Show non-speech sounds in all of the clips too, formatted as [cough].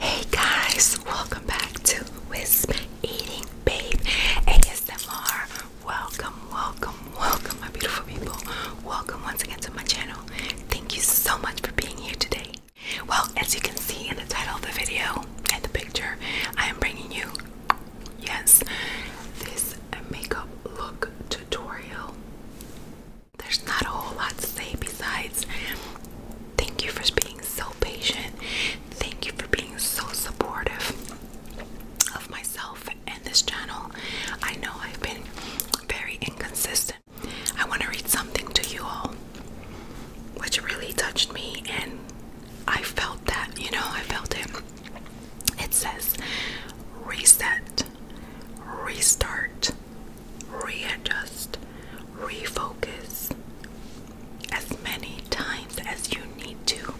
Hey guys, welcome back to Wisp Eating Babe ASMR. Welcome, welcome, welcome, my beautiful people. Welcome once again to my channel. Thank you so much for being here today. Well, as you can see in the title of the video and the picture, I am bringing you, yes, this makeup look tutorial. There's not a whole lot to say besides Thank you for being so patient. Thank you for being so supportive of myself and this channel. I know I've been very inconsistent. I want to read something to you all, which really touched me, and I felt that, you know, I felt it. It says, reset, restart, readjust, refocus as many times as you need to.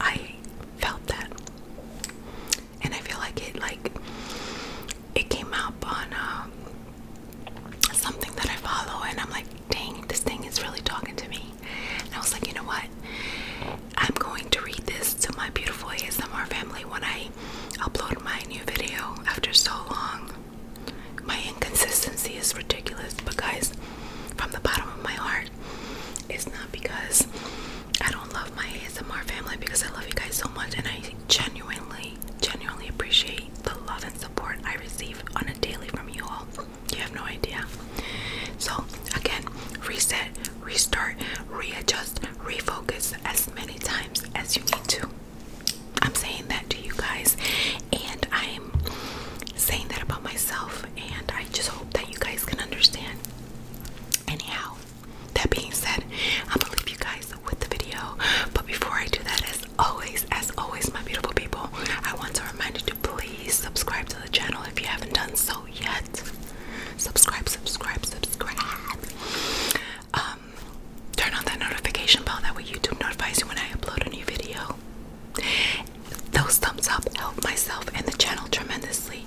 I felt that. And I feel like it like it came out on um, something that I follow and I'm like, dang, this thing is really talking to me. And I was like, you know what? I'm going to read this to my beautiful ASMR family when I I upload my new video after so long. My inconsistency is ridiculous, but guys, from the bottom of my heart, it's not because I don't love my ASMR family because I love you guys so much and I genuinely, genuinely appreciate the love and support I receive on a daily from you all. You have no idea. So, again, reset, restart, readjust, refocus as many times as you need to. I'm saying that to you guys, and I'm saying that about myself, and I just hope that you guys can understand. Anyhow, that being said, I'm gonna leave you guys with the video. But before I do that, as always, as always, my beautiful people, I want to remind you to please subscribe to the channel if you haven't done so yet. Subscribe, subscribe, subscribe um, turn on that notification bell that way YouTube notifies you when I upload a new video. Those thumbs up help myself and the channel tremendously.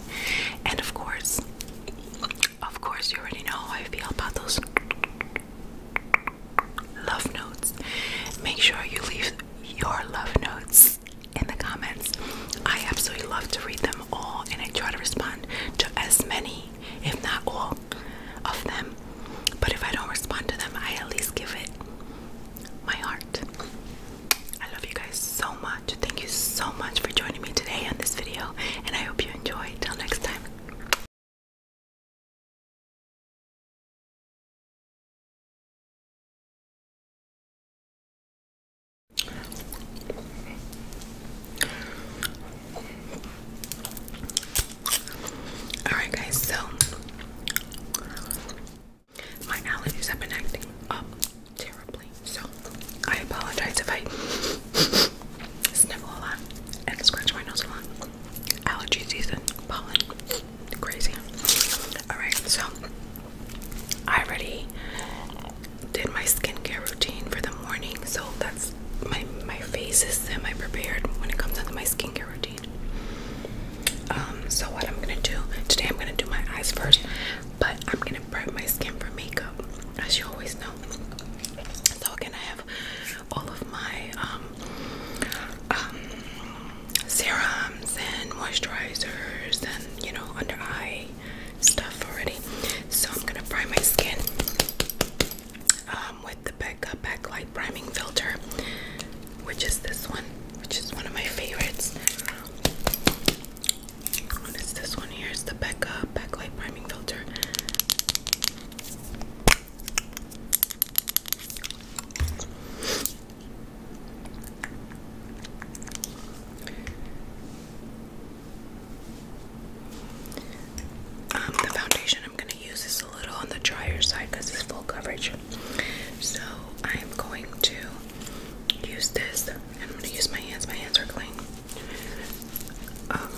And of course, of course, you already know how I feel about those love notes. Make sure you leave your love notes in the comments. I absolutely love to read them all and I try to respond to as many if not all, of them. But if I don't respond to them, I at least give it my heart. I love you guys so much. Thank you so much for joining me today on this video, and I hope you enjoy. Till next time. Alright, guys, so my allergies have been acting up terribly, so I apologize if I sniffle a lot and scratch my nose a lot. Allergy season, pollen, crazy. Alright, so I already did my skincare routine for the morning, so that's my my face is semi-prepared when it comes to my skincare routine. Um, so what I'm gonna do today, I'm gonna do my eyes first, but I'm gonna prep my skin for makeup, as you always know. So again, I have all of my um, um, serums and moisturizers and you know under eye stuff already. So I'm gonna prime my skin. Um, with the Becca Backlight Priming Filter, which is this one, which is one of my favorites. What is this one here? It's the Becca Backlight Priming Filter. Um, the foundation I'm going to use is a little on the drier side because it's full coverage. So I'm going to use this and I'm going to use my hands. My hands are clean. Um,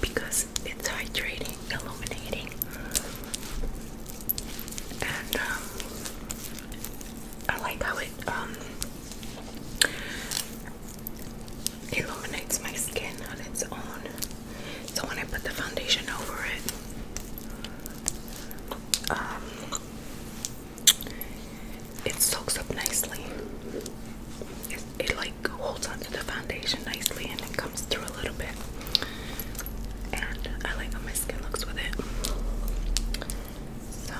because it's hydrating, illuminating. And um, I like how it illuminates my skin on its own. So when I put the foundation over it, um, it soaks up nicely. It, like holds onto the foundation nicely and it comes through a little bit. And I like how my skin looks with it. So,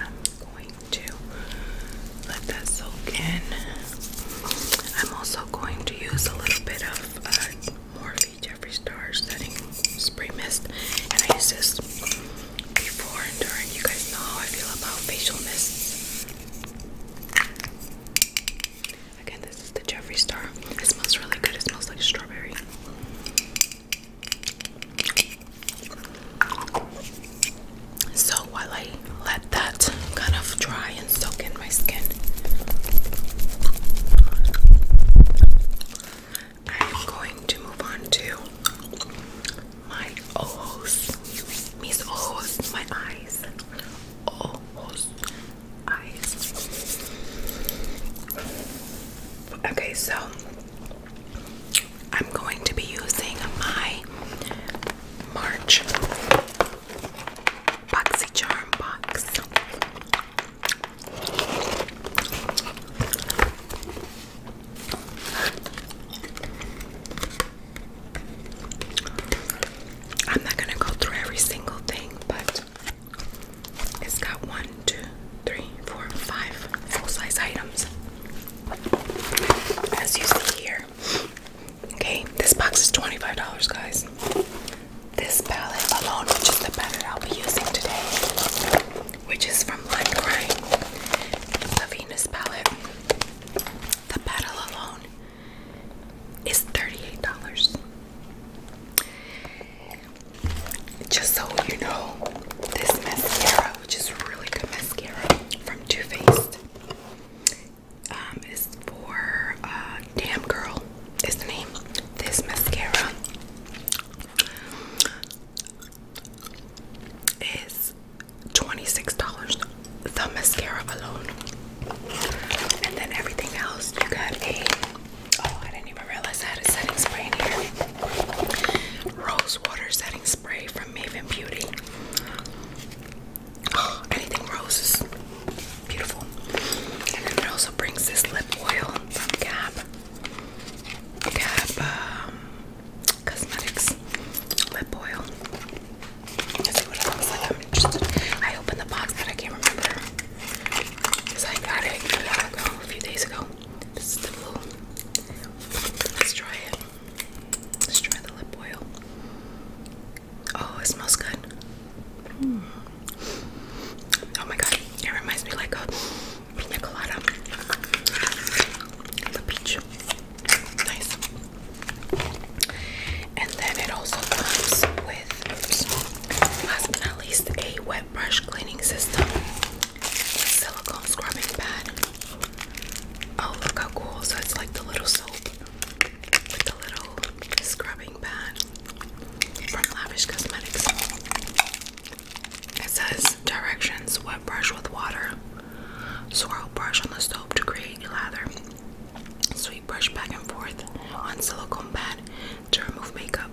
um, going to let that soak in. I'm also going to use a little bit of uh, Morphe Jeffree Star setting spray mist, and I use this before and during. You guys know how I feel about facial mists. Again, this is the Jeffree Star. It smells really good. It smells like strawberry. So while I let that kind of dry and soak in my skin, I'm going to move on to my ojos, mis ojos, my eyes, ojos, eyes. Okay, so I'm going to be using my March Boxy Charm box. I'm not gonna go through every single thing, but it's got one, two, three, four, five full size items. As you see here, Okay, this box is $25, guys. This palette alone, which is the palette I'll be using today, which is from Lime Crime, the Venus palette. The palette alone is $38. Just so you know, this mascara, which is really good mascara from Too Faced, um, is for uh, Damn Girl is the name. This mascara is $26. The mascara alone. And then everything else, you got a, oh, I didn't even realize I had a setting spray in here. Rose water setting spray from Maven Beauty. [gasps] Anything rose is beautiful. And then it also brings this lip oil Cap, Gap. Um, cosmetics lip oil. Let's see what it looks like. I'm interested. I opened the box that I can't remember. Because I got it a few days ago. This is the blue. Let's try it try the lip oil. Oh, it smells good. Hmm. Oh my god, it reminds me like a pina colada. The peach. Nice. And then it also comes with, last but not least, a wet brush cleaning system. Silicone scrubbing pad. Oh, look how cool. So it's like the little soap with the little scrubbing pad from Lavish Cosmetics. It says directions wet brush with water, swirl brush on the soap to create lather, sweep brush back and forth on silicone pad to remove makeup,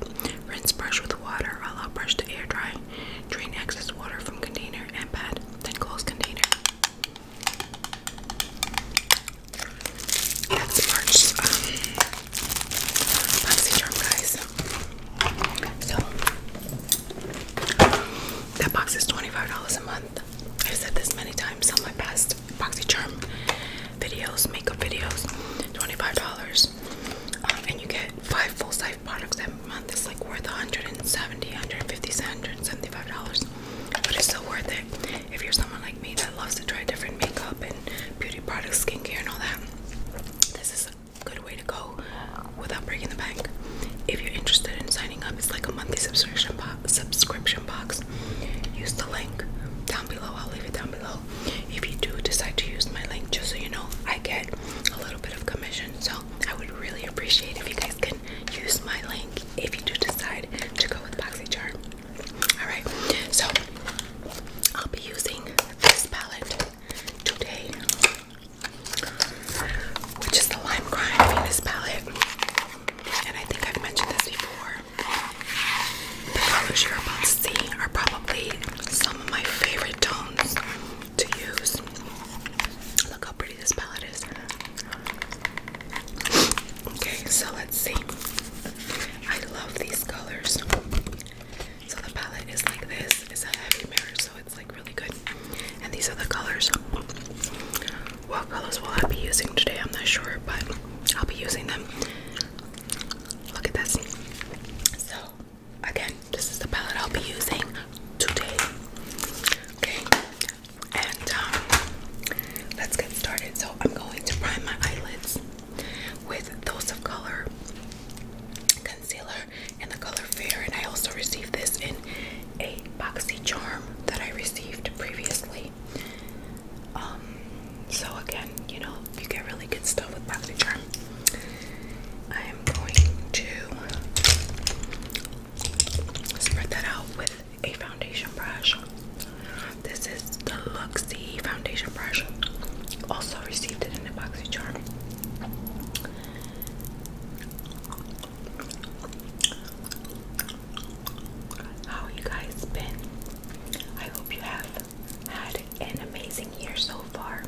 rinse brush with water, allow brush to air dry, drain excess water from container and pad, then close container. That's March um guys. So that box is $25 a month. I've said this many times on my past Boxycharm videos, makeup videos, $25. Um, and you get five full-size products every month. It's like worth 170, 150, 175 dollars but it's still worth it if you're someone like me that loves to try different makeup and beauty products, skincare, and all that. This is a good way to go without breaking the bank. If you're interested in signing up, it's like a monthly subscription box. Subscription box. Use the link down below. I'll leave it down below. If you do decide to use my link, just so you know, I get a little bit of commission. So I would really appreciate if you guys can use my link if you do decide to go with boxy BoxyCharm. Alright, so I'll be using this palette today, which is the Lime Crime Venus palette. And I think I've mentioned this before. The colors you're about to see are probably some of my favorite tones to use. Look how pretty this palette is. Okay, so let's see. I love these colors. So the palette is like this. It's a heavy mirror, so it's like really good. And these are the colors. What colors will I be using today? I'm not sure, but I'll be using them. Look at this. So again, this is the palette I'll be using today. Okay, and um, let's get started. So I'm going to prime my eyelids with Those of Color concealer and the color Fair. And I also received this in a boxy charm that I received previously. Um, so again, you know, you get really good stuff with boxy charm. I am going to spread that out with a foundation brush. This is the Luxie foundation brush. Also received it in a boxy charm. How you guys been? I hope you have had an amazing year so far.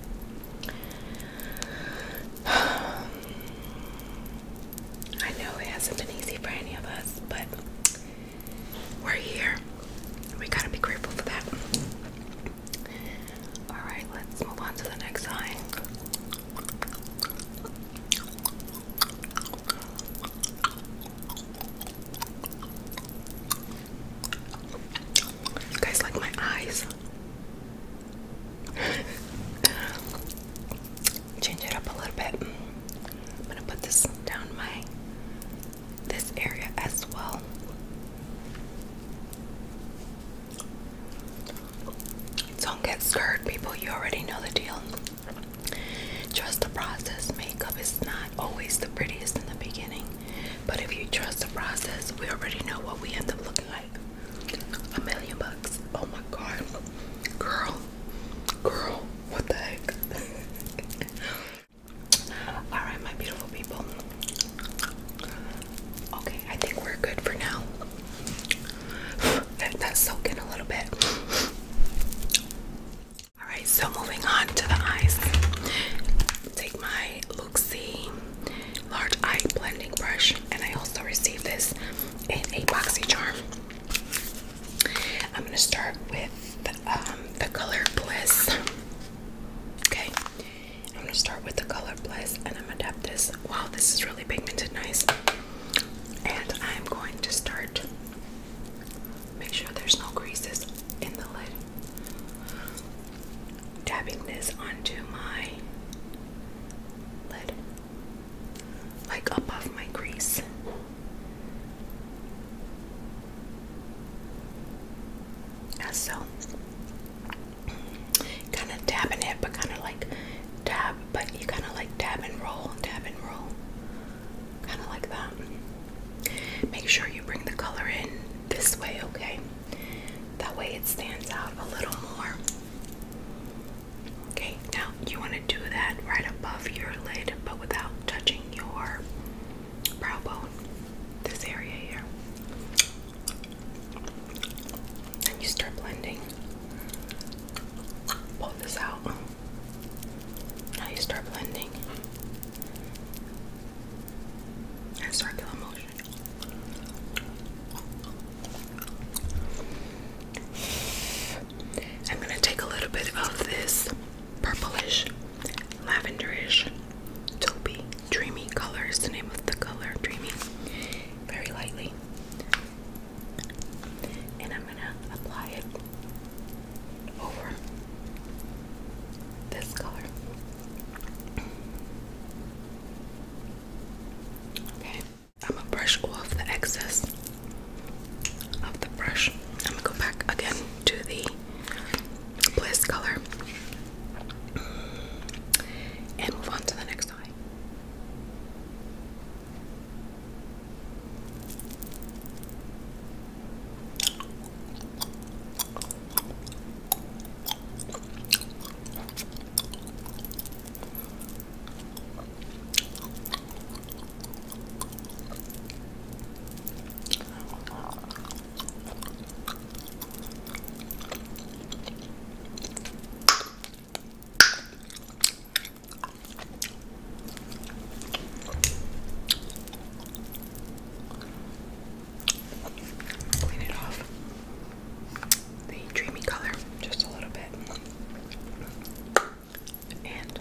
I know it hasn't been easy for any of us, but we're here. We gotta be grateful for that. Alright, let's move on to the next sign. You guys like my eyes? [laughs] change it up a little bit. I'm gonna put this down my this area as well. Don't get scared, people. You already know the deal. Trust the process. Makeup is not always the prettiest in the beginning, but if you trust the process, we already know what we end up looking like. A million bucks. Oh my god, girl. Girl, what the heck? [laughs] Alright, my beautiful people. Okay, I think we're good for now. Let [sighs] that soak in a little bit. Alright, so moving on to the eyes. Take my Luxie large eye blending brush, and I also received this in a boxy charm. I'm gonna start with um, the color Bliss. Okay, I'm gonna start with the color Bliss, and I'm gonna dab this. Wow, this is really pigmented, nice. And I'm going to start. Make sure there's no creases in the lid. Tapping this onto my lid like above my crease. As so, kind of dabbing it, but kind of like dab, but you kind of like dab and roll, dab and roll, kind of like that. Make sure you bring the color in this way, okay? That way it stands out a little more. Okay, now you want to do that right above your lid but without touching your brow bone, this area here. And you start blending. Pull this out. Now you start blending. And circular motion. I'm going to take a little bit of this purplish, lavenderish, taupey, dreamy color is the name of the color, dreamy, very lightly. And I'm going to apply it over this color. Okay. I'm gonna brush off the excess of the brush. I'm gonna go back again to the bliss color mm. and move on to the next eye. Clean it the dreamy color just a little bit. And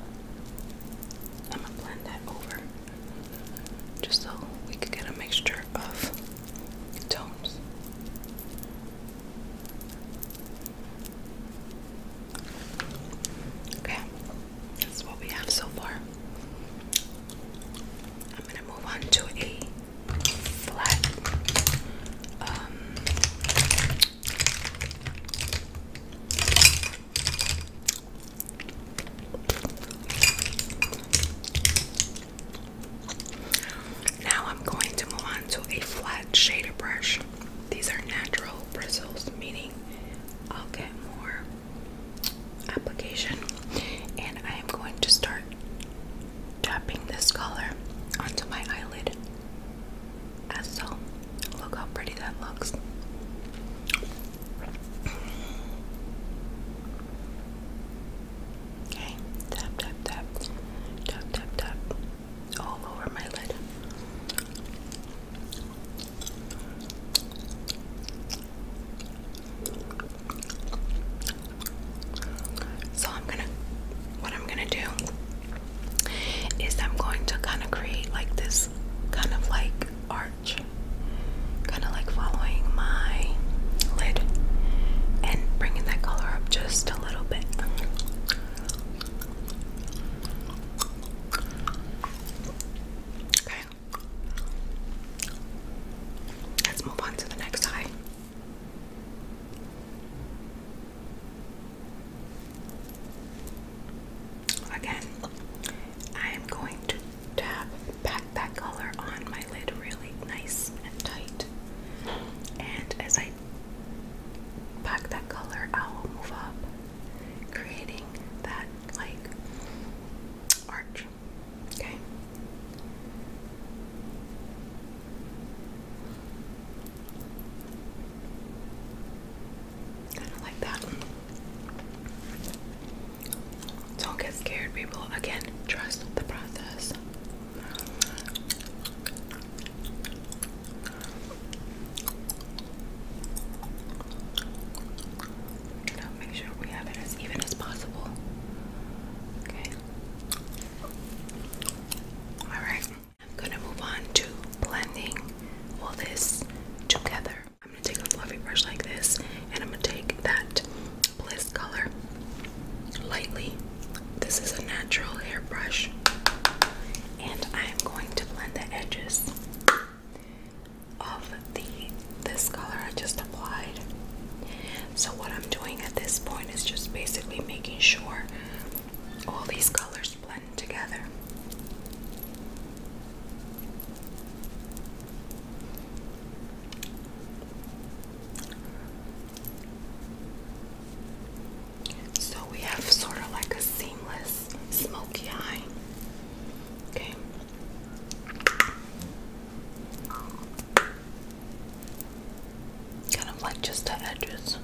I'm gonna blend that over just so we could get a mixture of tones. Okay, that's what we have so far. I'm gonna move on to a flat um, now I'm going to move on to a flat shader brush. These are natural bristles, meaning I'll get more application. And I am going to start tapping this color onto my eyelid as so. Look how pretty that looks. Okay, tap, tap, tap, tap, tap, tap, all over my lid. So I'm gonna, what I'm gonna do is I'm going to kind of create like this kind of like arch, kind of like following my lid and bringing that color up just a little bit. Okay. Let's move on to the next eye. Again, I am going to tap that color on my lid really nice and tight. And as I pack that color, I will move up, creating that like arch. Okay. Kind of like that. Don't get scared, people. Again, trust the process. Now make sure we have it as even as possible. Okay. All right. I'm gonna move on to blending all this together. I'm gonna take a fluffy brush like this and I'm gonna take that bliss color lightly. This is a natural hair brush, and I'm going to blend the edges of the this color I just applied. So what I'm doing at this point is just basically making sure all these colors blend together. So we have sort of like a seamless smoky eye. Okay. Kind of like just the edges.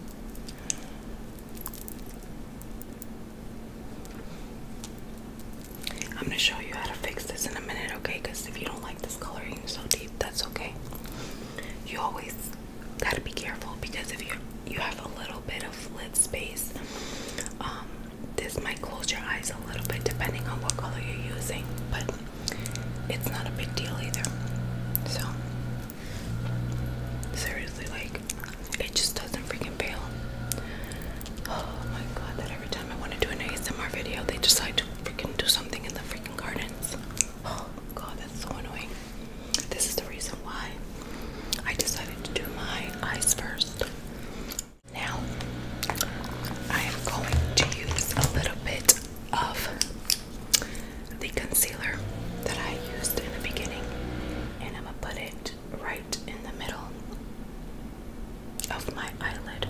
I'm gonna show you how to fix this in a minute, okay? Because if you don't like this coloring so deep, that's okay. You always gotta be careful because if you you have a little bit of lid space, um, this might close your eyes a little bit depending on what color you're using, but it's not a big deal either. So Seriously, like it just doesn't freaking fail. Oh my god, that every time I want to do an ASMR video, they decide to freaking do something in the freaking gardens. Oh god, that's so annoying. This is the reason why I decided to do my eyes first. Now, I am going to use a little bit of the concealer that I used in the beginning, and I'm put it right in the middle of my eyelid.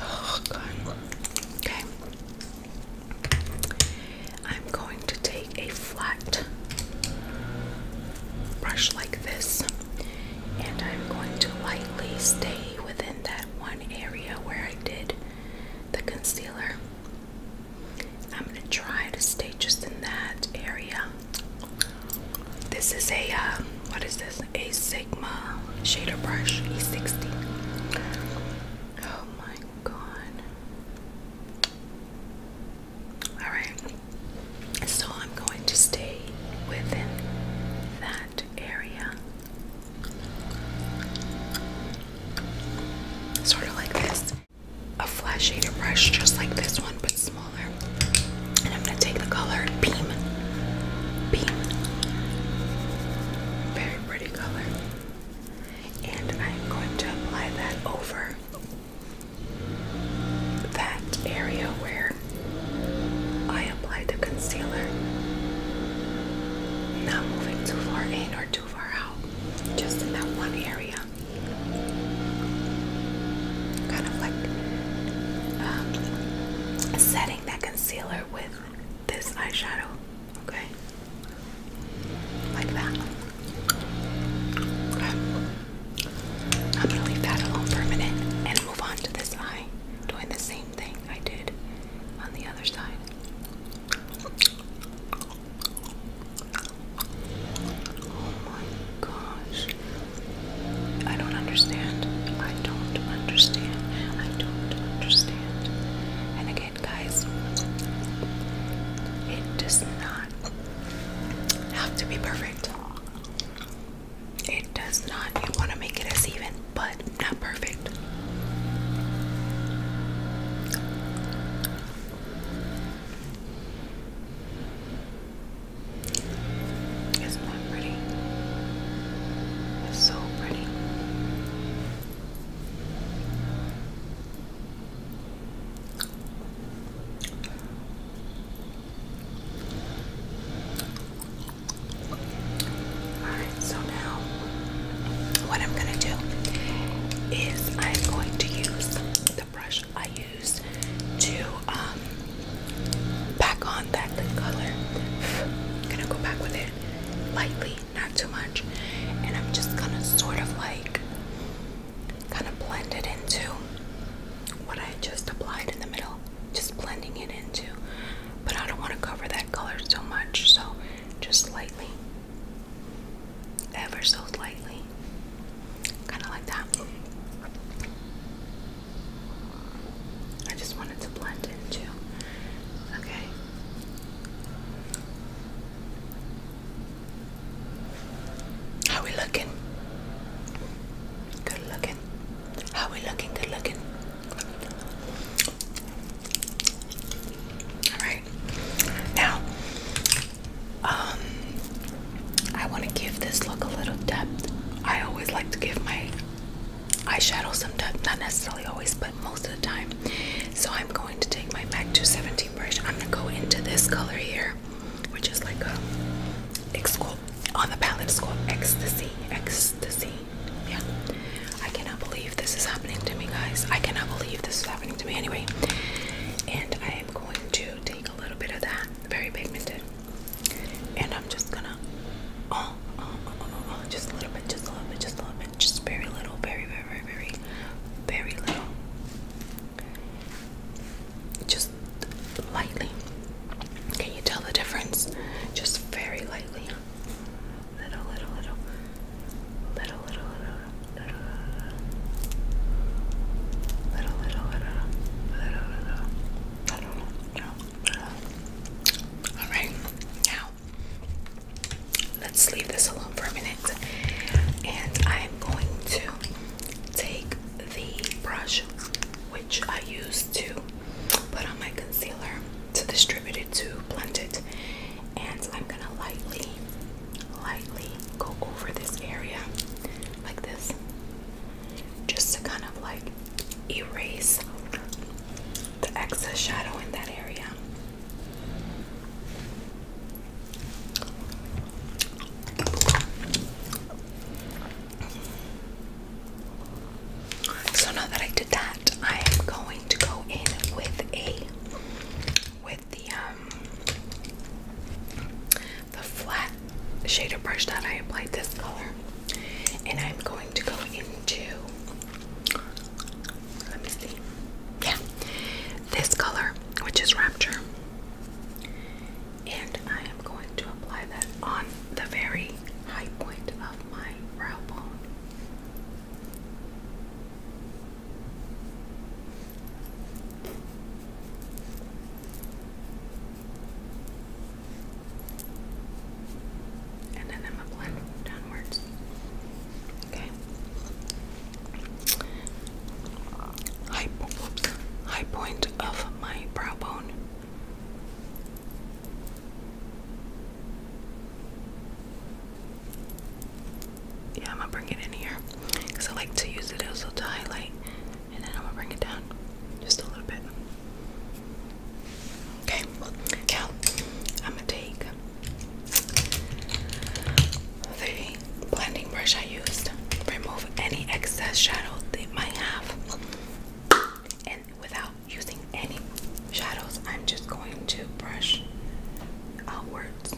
Oh, okay. I'm going to take a flat brush like this and I'm going to lightly stay within that one area where I did the concealer. I'm going to try to stay just in that area. This is a, uh, what is this? A Sigma shader brush, E60. Oh my god. Alright, so I'm going to stay within that area. Sort of like this. A flat shader brush just like this one but smaller. And I'm gonna take the color Beam. Beam. Very pretty color. And I'm going to apply that over that area where I apply the concealer. Not moving too far in or too far out, just in that one area. Kind of like um, setting that concealer with this eyeshadow, okay? Like that. I'm gonna leave that alone for and move on to this eye, doing the same thing I did on the other side. Oh my gosh. I don't understand. I don't understand. I don't understand. And again, guys, it does not have to be perfect. It does not. You want to make it as even but not perfect. It's not pretty. It's so pretty. Alright, so now what I'm gonna do is I'm going to use the brush I used to um, pack on that lip color. I'm gonna go back with it lightly, not too much, and I'm just gonna sort of like kind of blend it into what I just applied in the middle, just blending it into. But I don't want to cover that color so much, so just lightly, ever so lightly, kind of like that. I just wanted to blend in Okay. How we looking? Good looking. How we looking? Good looking. All right. Now, um, I want to give this look a little depth. I always like to give my eyeshadow some depth, not necessarily always, but most of the time. So I'm going to take my MAC 217 brush. I'm gonna go into this color here, which is like a it's on the palette. It's Ecstasy. Ecstasy. Yeah. I cannot believe this is happening to me, guys. I cannot believe this is happening to me anyway. And I am going to take a little bit of that, very pigmented. And I'm just gonna, oh, oh, oh, oh, oh, oh just a little bit, just a little bit, just a little bit, just very little, very, very, very, very, very little. Just lightly. Can you tell the difference? Just very lightly little, little, little, little, little, little, little, little, little, little, little, little, little. All right, now let's leave this alone for a minute, and I am going to take the brush which I used to put on my concealer to distribute it to blend it and I'm gonna lightly, lightly go over this area like this, just to kind of like erase the excess shadow in that area. So now that I did that, I am going to go in with a with the um the flat shader brush that I applied this color and I'm going to go into let me see yeah this color which is rapture and I am going to apply that on the very high point of my brow bone and then I'm going downwards. Okay. High, high point of my brow bone. Yeah, I'm gonna bring it in here because I like to use it also to highlight, and then I'm gonna bring it down just a little bit. Okay, now I'm gonna take the blending brush I used, remove any excess shadow they might have, and without using any shadows, I'm just going to brush outwards,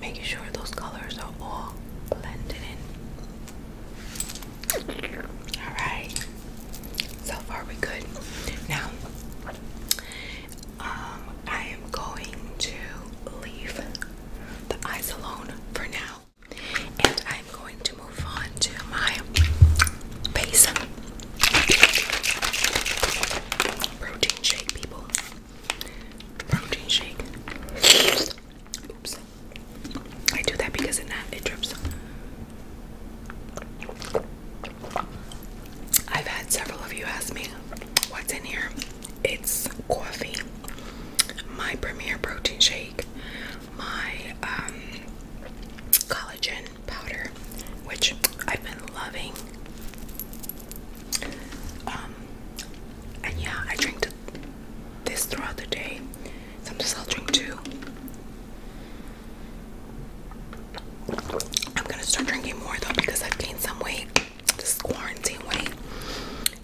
making sure those colors are all blended in. All right, so far we're good. Now, um, I am going to leave the eyes alone for now, and I'm going to move on to my base. Protein shake, people. Protein shake. Oops. I do that because it not it drips. I've had several of you ask me what's in here. It's coffee, my premier protein shake, my um, collagen powder, which I've been loving. Um, and yeah, I drink this throughout the day. Sometimes I'll drink two. I'm gonna start drinking more though because I've gained some weight, this quarantine weight,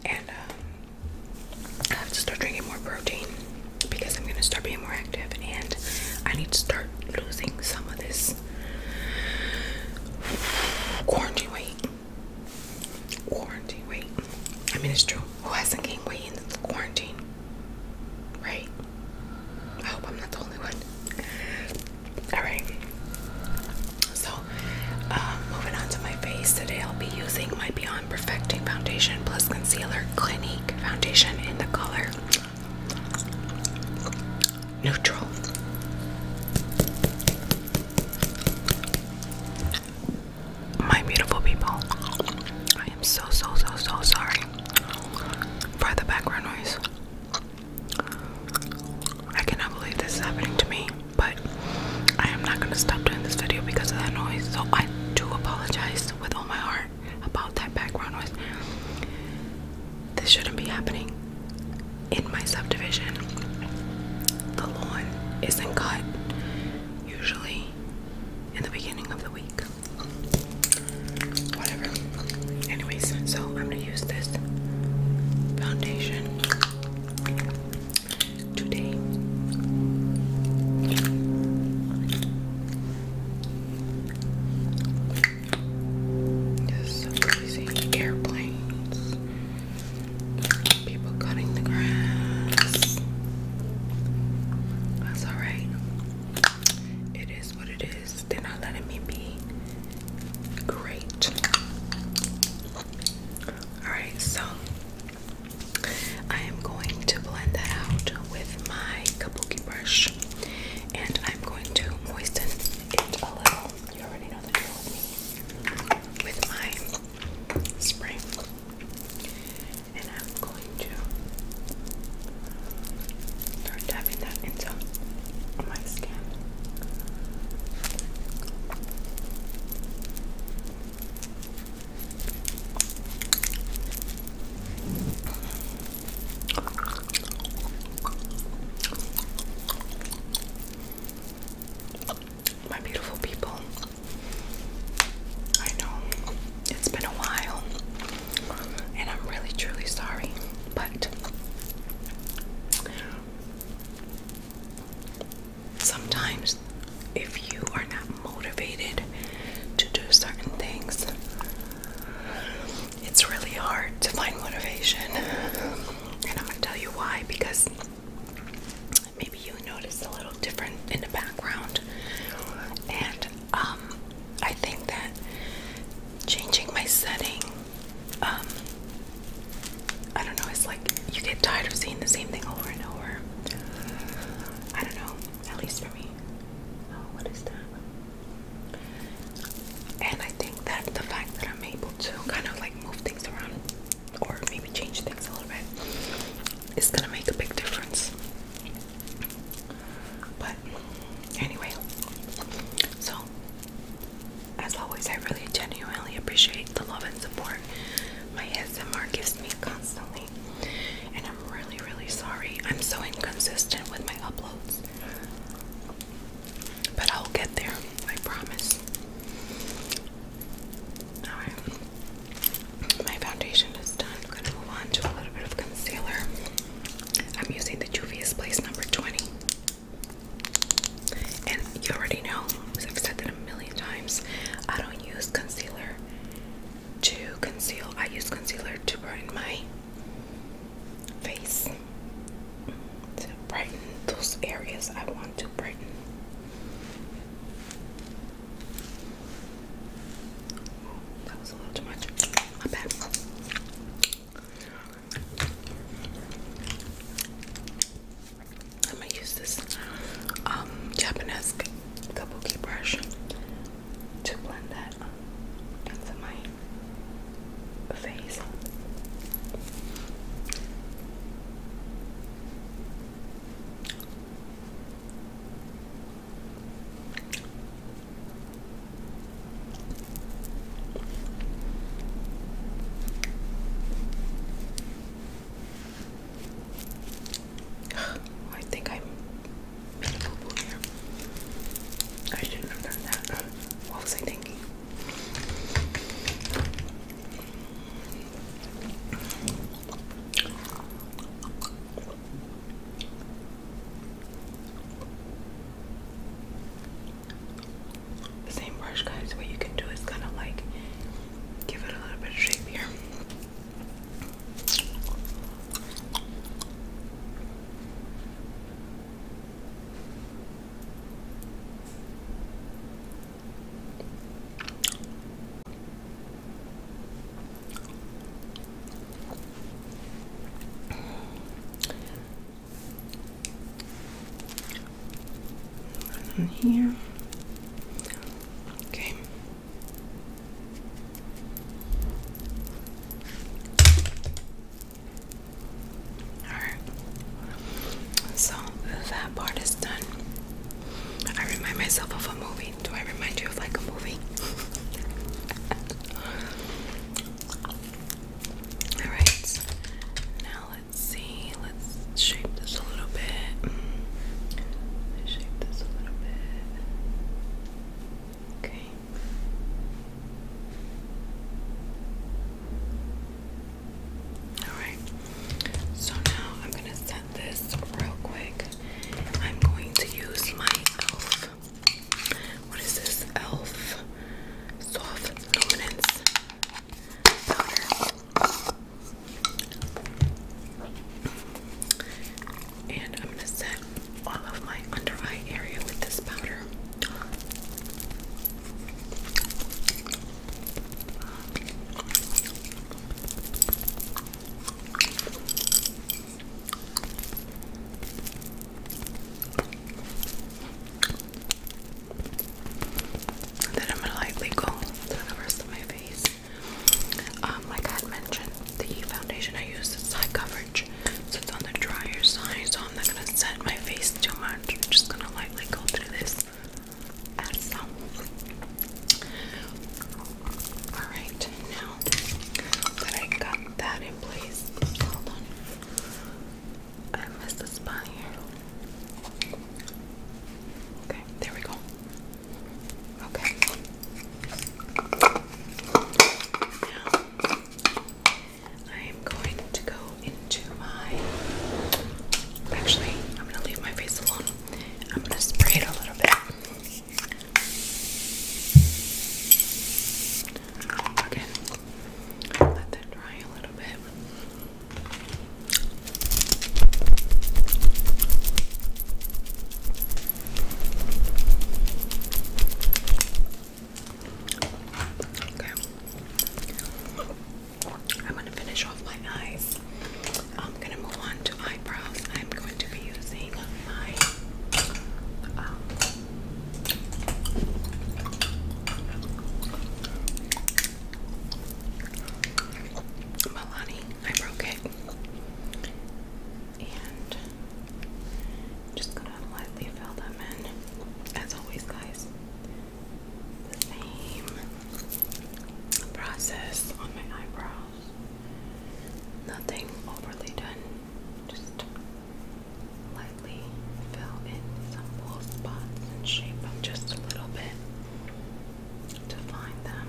and um, I have to start drinking more protein because I'm gonna start being more active and I need to start losing some of this quarantine weight. Quarantine weight. I mean, it's true. Who hasn't gained weight in the quarantine? Right? I hope I'm not the only one. Alright. So, um, moving on to my face. Today I'll be using my Beyond Perfecting Foundation Plus Concealer Clinique Foundation in the color neutral. My beautiful people, I am so, so, so, so sorry for the background noise. I cannot believe this is happening to me, but I am not going to stop doing this video because of that noise. So I do apologize with all my heart about that background was this shouldn't be happening in my subdivision. The lawn isn't cut usually in the beginning of the week. Whatever. Anyways, so I'm gonna use this foundation today. Just crazy. Airplanes. People cutting the grass. That's alright. It is what it is. They're not letting me be great. Alright, so I am going to blend that out with my kabuki brush and I'm going to moisten it a little. You already know the deal with my spray. And I'm going to start tapping that into my skin. My beautiful people, I know it's been a while, and I'm really truly sorry, but sometimes if you are not motivated to do certain things, it's really hard to find motivation. And I'm going to tell you why because maybe you noticed a little different in the background. And um, I think that changing my setting, um, I don't know, it's like you get tired of seeing the same thing over and over. I don't know, at least for me. Oh, what is that? And I think that the fact that I'm able to kind of like move things around or maybe change things a little bit is gonna make a big difference. But anyway, so as always, I really genuinely appreciate the love and support my ASMR gives me constantly. And I'm really, really sorry. I'm so inconsistent with my uploads. But I'll get there, I promise. Alright. My foundation is done. I'm gonna move on to a little bit of concealer. I'm using the Juvia's Place number 20. And you already know, I've said that a million times, I don't use concealer to conceal. I use concealer to brighten my face to brighten those areas I want to brighten. that was a little too much. My bad. I'm gonna use this um, Japanese kabuki brush to blend that that into my face. I think I'm beautiful here. I shouldn't have done that. What was I thinking? same brush, guys. What you can do is kind of like give it a little bit of shape here. And here. Okay. Alright. So that part is done. I remind myself of a movie. Do I remind you of like a movie? [laughs] Alright. Now let's see. Let's shape this a little bit. Mm. Shape this a little bit. Okay. Alright, so now I'm going to set this real quick. I'm going to use my e.l.f. What is this? e.l.f. Soft Luminance Powder. And I'm going to set all of my under eye area with this powder. And then I'm gonna lightly go to the rest of my face. Um, like I mentioned, the foundation I use is high coverage so it's on the drier side, so I'm not gonna set my face too much. I'm just gonna lightly go through this Alright, now that I got that in place, hold on. I missed a spot here. Okay, there we go. Okay. Now I am going to go into my. Actually, I'm going to leave my face alone. I'm going to spray it a little bit. Again, let that dry a little bit. Okay. I'm going to finish off my eyes. I'm going to move on to eyebrows. I'm going to be using my um, I broke it, And just going to lightly fill them in as always, guys, the same process on my eyebrows. Nothing overly done, just lightly fill in some full spots and shape them just a little bit to find them.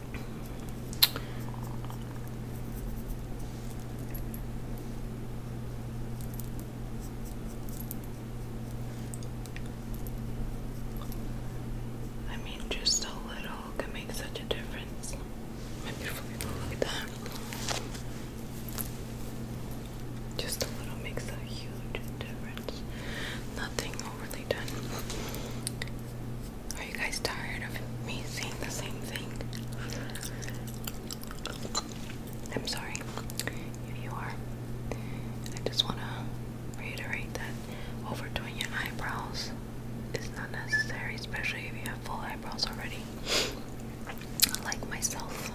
I mean, just a little can make such a difference. My beautiful people, look at that. Just a little makes a huge difference. Nothing overly done. Are you guys tired of me saying the same thing? I'm sorry if you are. I just want to reiterate that overdoing your eyebrows is not necessary, especially if you have full eyebrows already, like myself.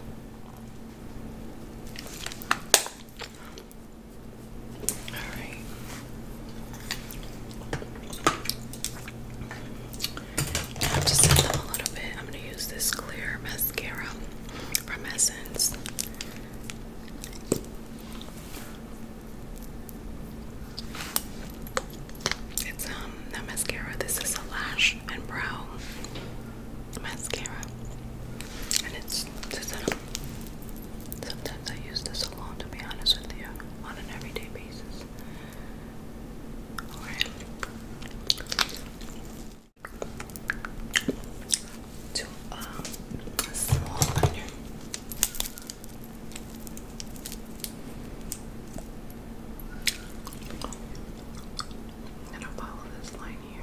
Alright, i just set them a little bit. I'm going to use this clear mascara from Essence. It's um, not mascara. This is a lash and brow mascara, and it's to set um, Sometimes I use this alone, to be honest with you, on an everyday basis. Alright. To um small onion. gonna follow this line here.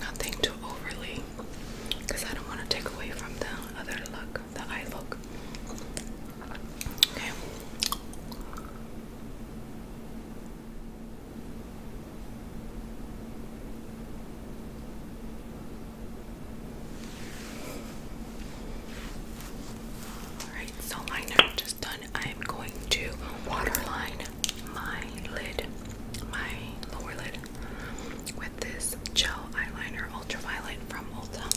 Nothing too overly because I don't want to take away from the other look, the eye look. Okay. Alright, so liner just done. I'm going to waterline my lid, my lower lid, with this gel eyeliner ultraviolet from Ulta.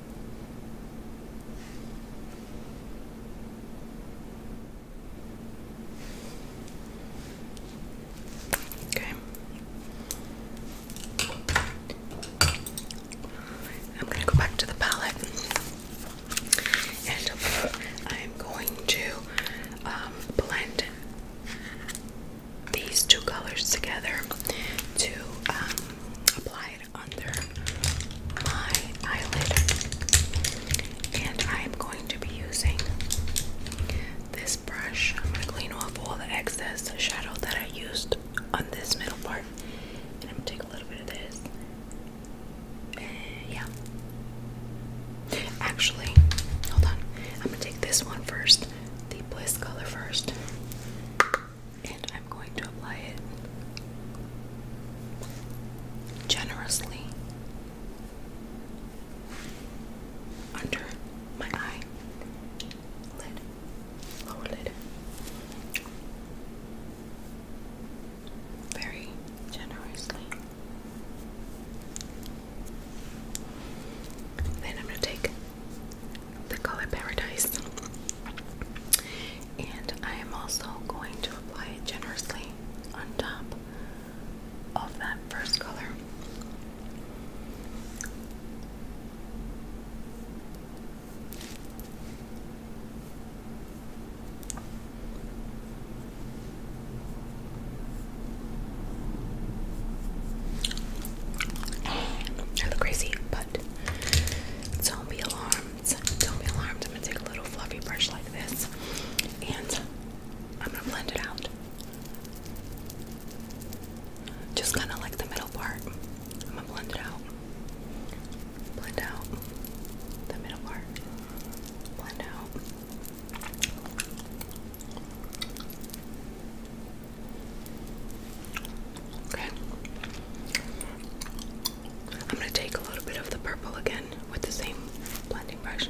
Okay. I'm going to go back to the palette and I'm going to um, blend these two colors together to um, apply under my eyelid. And I am going to be using this brush. I'm going to clean off all the excess shadow that I used on this middle part. And I'm going to take a little bit of this. yeah. Actually, hold on. I'm going to take this one first, the Bliss color first and I'm going to apply it generously under my eye lid, lower lid. Very generously. Then I'm going to take the color Paradise and I am also going to apply it generously on top of that first color. I look crazy, but don't alarmed. Don't be alarmed. I'm gonna take a little fluffy brush like this and I'm gonna blend it out. Just kind of like the middle part. I'm gonna blend it out. Blend out the middle part. Blend out. Okay. I'm going to take a little bit of the purple again with the same blending brush.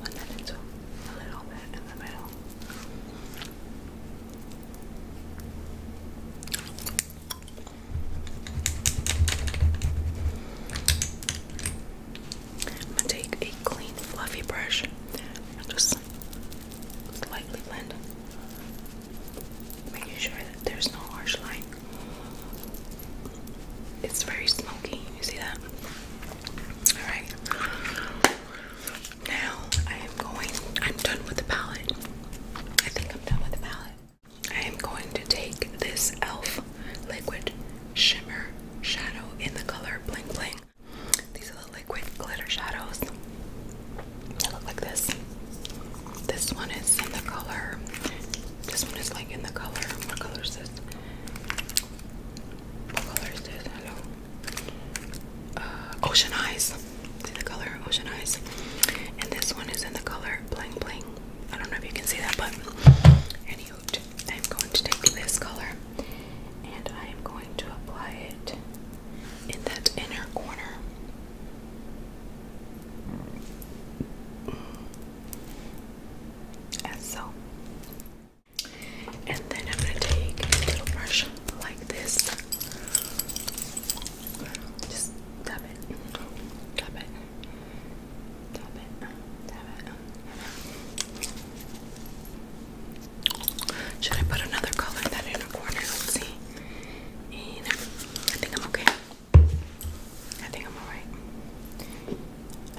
Blend that into a little bit in the middle. I'm going to take a clean fluffy brush and just slightly blend, making sure that there's no harsh line. It's very smoky. You see that? Alright. Now I am going, I'm done with the palette. I think I'm done with the palette. I am going to take this e.l.f. liquid shimmer shadow in the color Bling Bling. These are the liquid glitter shadows. They look like this. This one is in the color. This one is like in the color. What color is this? What color is this? Hello. Uh, ocean Eyes. See the color Ocean Eyes. And this one is in the color blank blank. I don't know if you can see that, but anywho, I'm going to take this color and I am going to apply it in that inner corner so. And then I'm gonna take a brush like this. Just dab it, dab it, dab it, dab it. Should I put another color in that inner corner? Let's see. And I think I'm okay. I think I'm alright.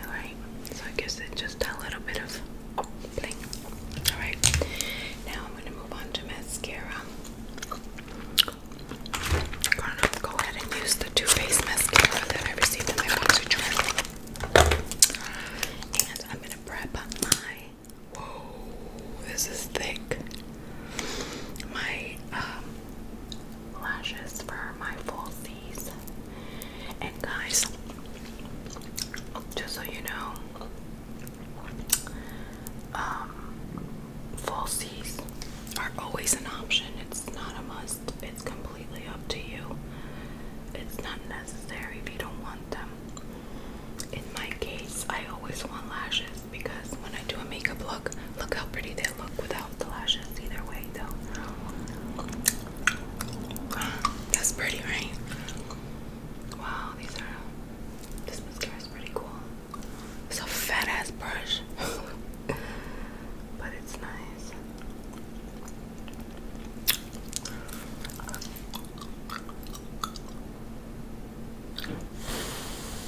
Alright, so I guess it's just a little bit of Alright, now I'm going to move on to mascara. go ahead and use the Too Faced mascara that I received in my box And I'm going to prep my. Whoa, this is thick. My um, lashes for my full C's. And guys, just so you know, um, are always an option. It's not a must. It's completely up to you. It's not necessary if you don't want them. In my case, I always want lashes, because when I do a makeup look, look how pretty they look without the lashes. Either way, though. That's pretty, right? Wow, these are. This mascara is pretty cool. It's a fat ass brush, [laughs] but it's nice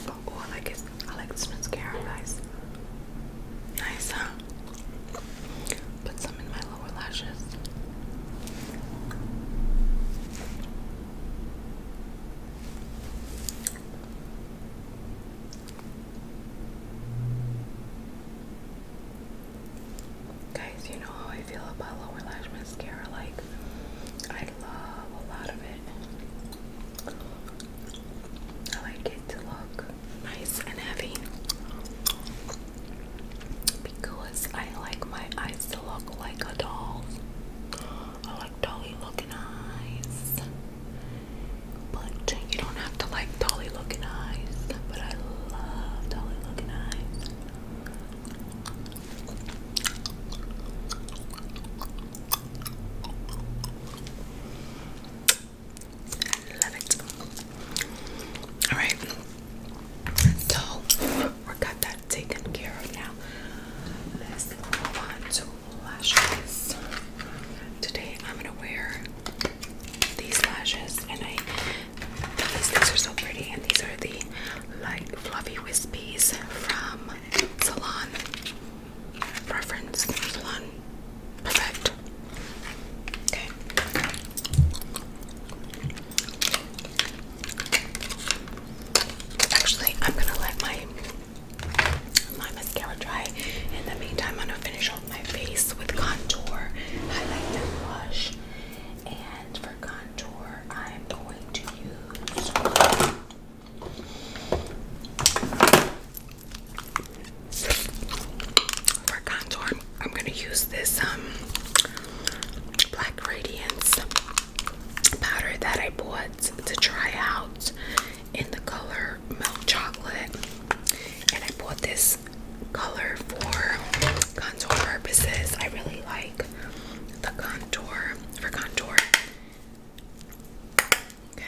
oh, I like it. I like this mascara, guys. Nice, huh? Put some in my lower lashes. Guys, you know how I feel about lower lash mascara. Like, I love a lot of it. I like it to look nice and heavy because I like my eyes to look like a doll's. I like dolly looking eyes. But you don't have to like dolly looking eyes. But I love dolly looking eyes. Love it. Alright. So we got that taken care of now. Let's move on to lashes. Today I'm gonna wear these lashes and I these things are so pretty and these are the light fluffy wispies from Salon preference. There's Perfect. Okay. Actually, I'm gonna let my my mascara dry. In the meantime, I'm gonna finish off my face with contour, highlight, and blush. And for contour, I'm going to use for contour, I'm gonna use this um black radiance powder that I bought to try out in the color milk chocolate. And I bought this color for contour purposes. I really like the contour for contour. Okay.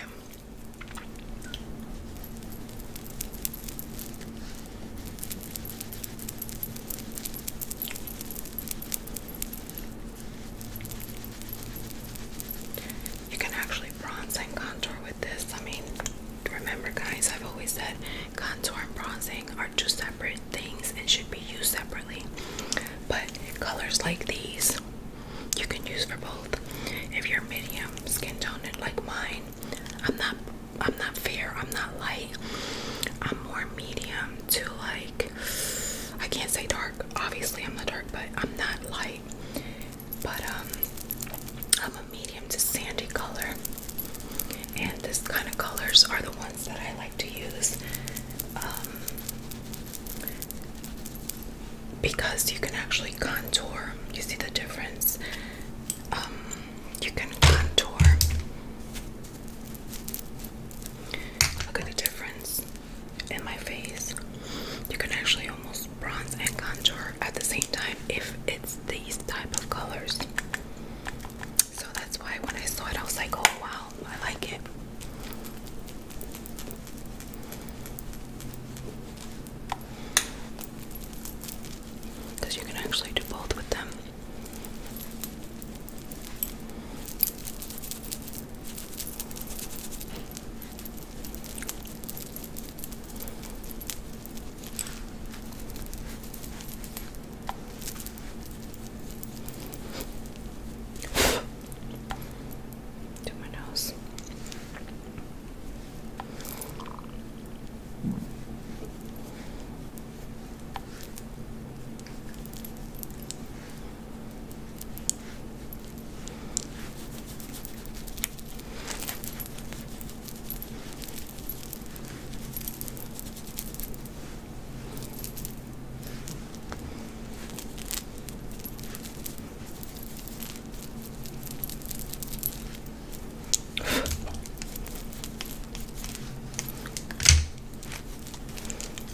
You can actually bronze and contour with this. I mean, remember, guys, I've always said contour and bronzing are two separate things and should be used separately. But colors like these you can use for both. If you're medium skin tone like mine, I'm not I'm not fair, I'm not light. I'm more medium to like I can't say dark. Obviously I'm not dark, but I'm not light. But um I'm a medium to sandy color. And this kind of colors are the ones that I like to use. Um because you can actually contour. You see the difference? Um, you can contour. Look at the difference in my face. You can actually almost bronze and contour at the same time if it's these type of colors. So that's why when I saw it, I was like, oh wow, I like it. Because you can actually do both with them to my nose.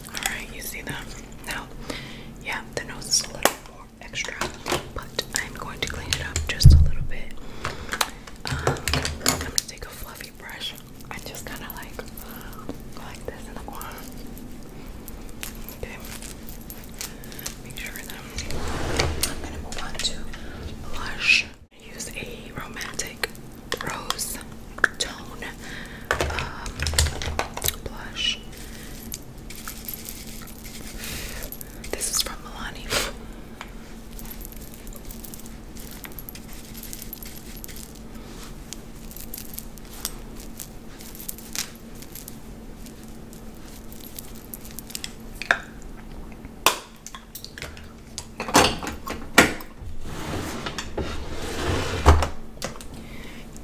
Alright, you see them? Now, yeah, the nose is a little more extra, but I'm going to clean it up just a little bit. I'm um, gonna take a fluffy brush. I just kind of like go like this in the corner. Okay. Make sure that I'm gonna move on to blush. use a romantic rose tone um, blush. This is from Milani.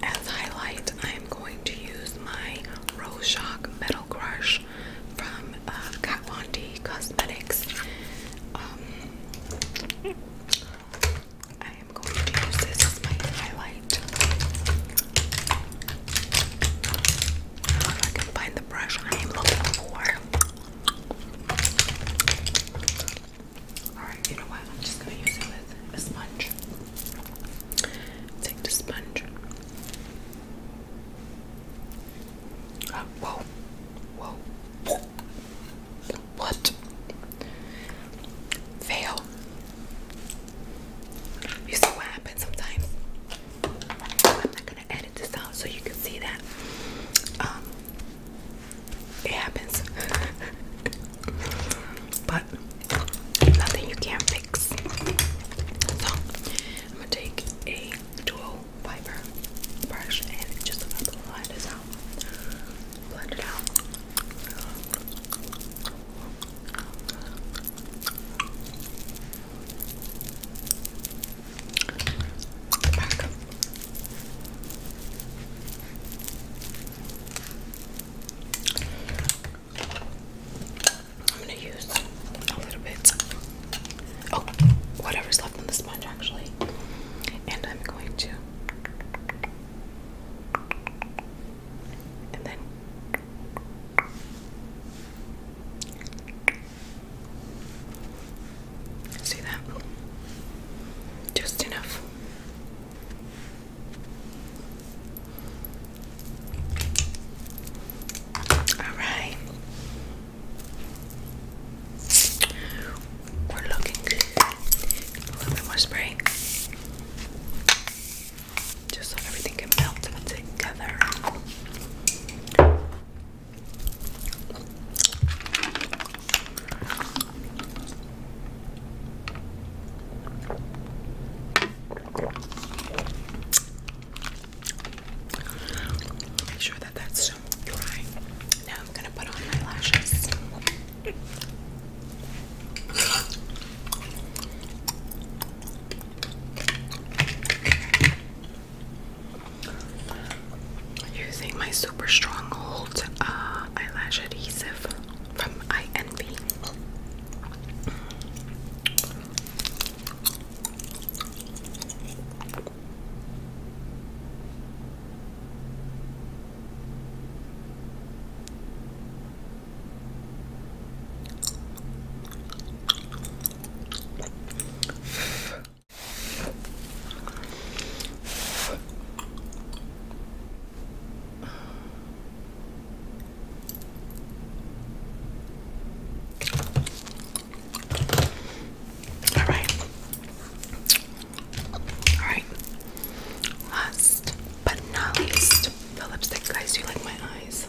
As highlight, I am going to use my Rose Shock Metal Crush from uh, Kat Von D Cosmetics. Um, I am going to use this as my highlight. If I can find the brush I am looking for. Alright, you know what? I'm just gonna use it with a sponge. Take the sponge. Uh, whoa, whoa. What? Fail. You see what happens sometimes? I'm not gonna edit this out so you can see that. Um, it happens. [laughs] but nothing you can't fix. So I'm gonna take a dual fiber brush and just blend this out. Blend it out. I'm gonna use a little bit. Oh, whatever's left on the sponge actually. And I'm going to and then see that just enough. All right, we're looking good. A little more spray just so everything can melt together. Make sure that that's dry. Now I'm gonna put on my lashes. Using my super strong hold uh, eyelash adhesive from I all right. All right. Last but not least, the lipstick. Guys, do you like my eyes?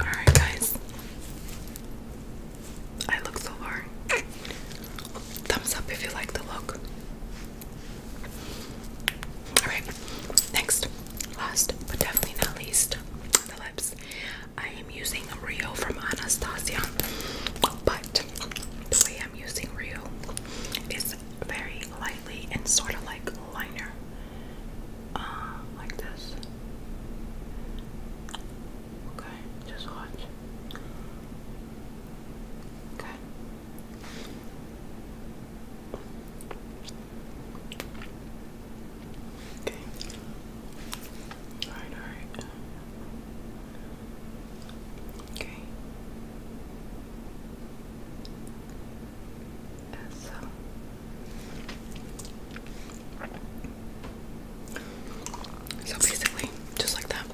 All right, guys. I look so hard. Thumbs up if you like the look. All right, next. Last but definitely not least, the lips. I am using Rio from Anastasia, but the I'm using Rio is very lightly and sort of like liner, uh, like this. Okay, just watch. Okay. Okay. Alright, alright. Okay. so. So basically, just like that,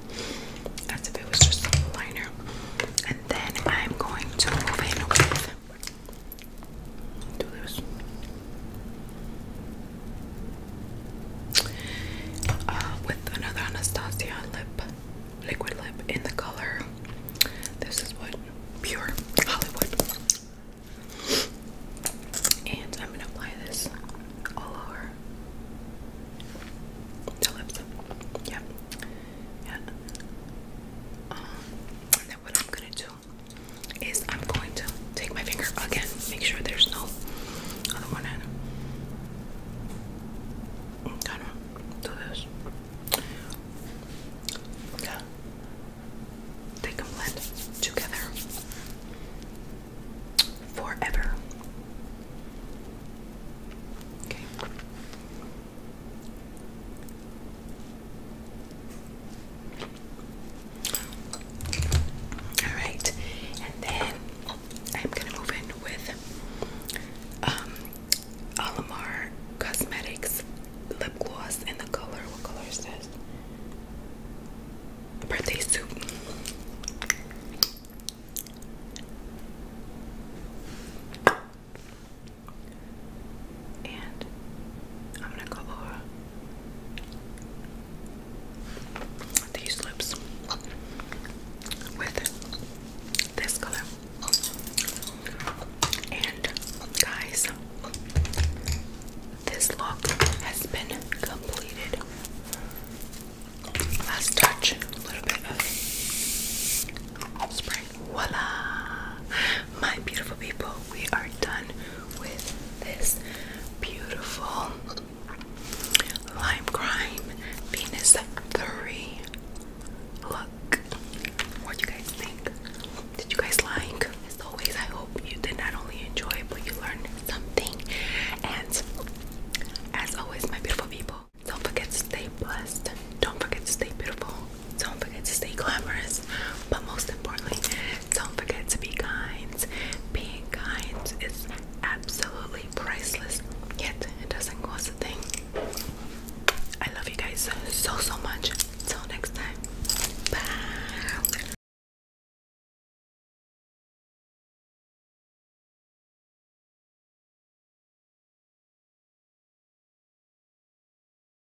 as if it was just a liner. And then I'm going to move in with this. Uh, with another Anastasia lip, liquid lip in the color. This is what pure Hollywood. And I'm gonna apply this all over the lips. Yeah. Yeah. Um, and then what I'm gonna do is I'm going to take my finger again, make sure there's no other one in. i do this. Yeah. They can blend together forever. Okay. All right, and then I'm gonna move in with um, Alamar Cosmetics lip gloss in the color. What color is this? Birthday suit and I'm gonna go over these lips with this color. And guys, this look has been completed. Last touch, a little bit of spray voila my beautiful people we are done with this beautiful lime crime venus 3 look what do you guys think did you guys like as always i hope you did not only enjoy it but you learned something and as always my beautiful people don't forget to stay blessed don't forget to stay beautiful don't forget to stay glamorous, but most importantly, don't forget to be kind. Being kind is absolutely priceless, yet it doesn't cost a thing. I love you guys so, so much. Until next time, bye.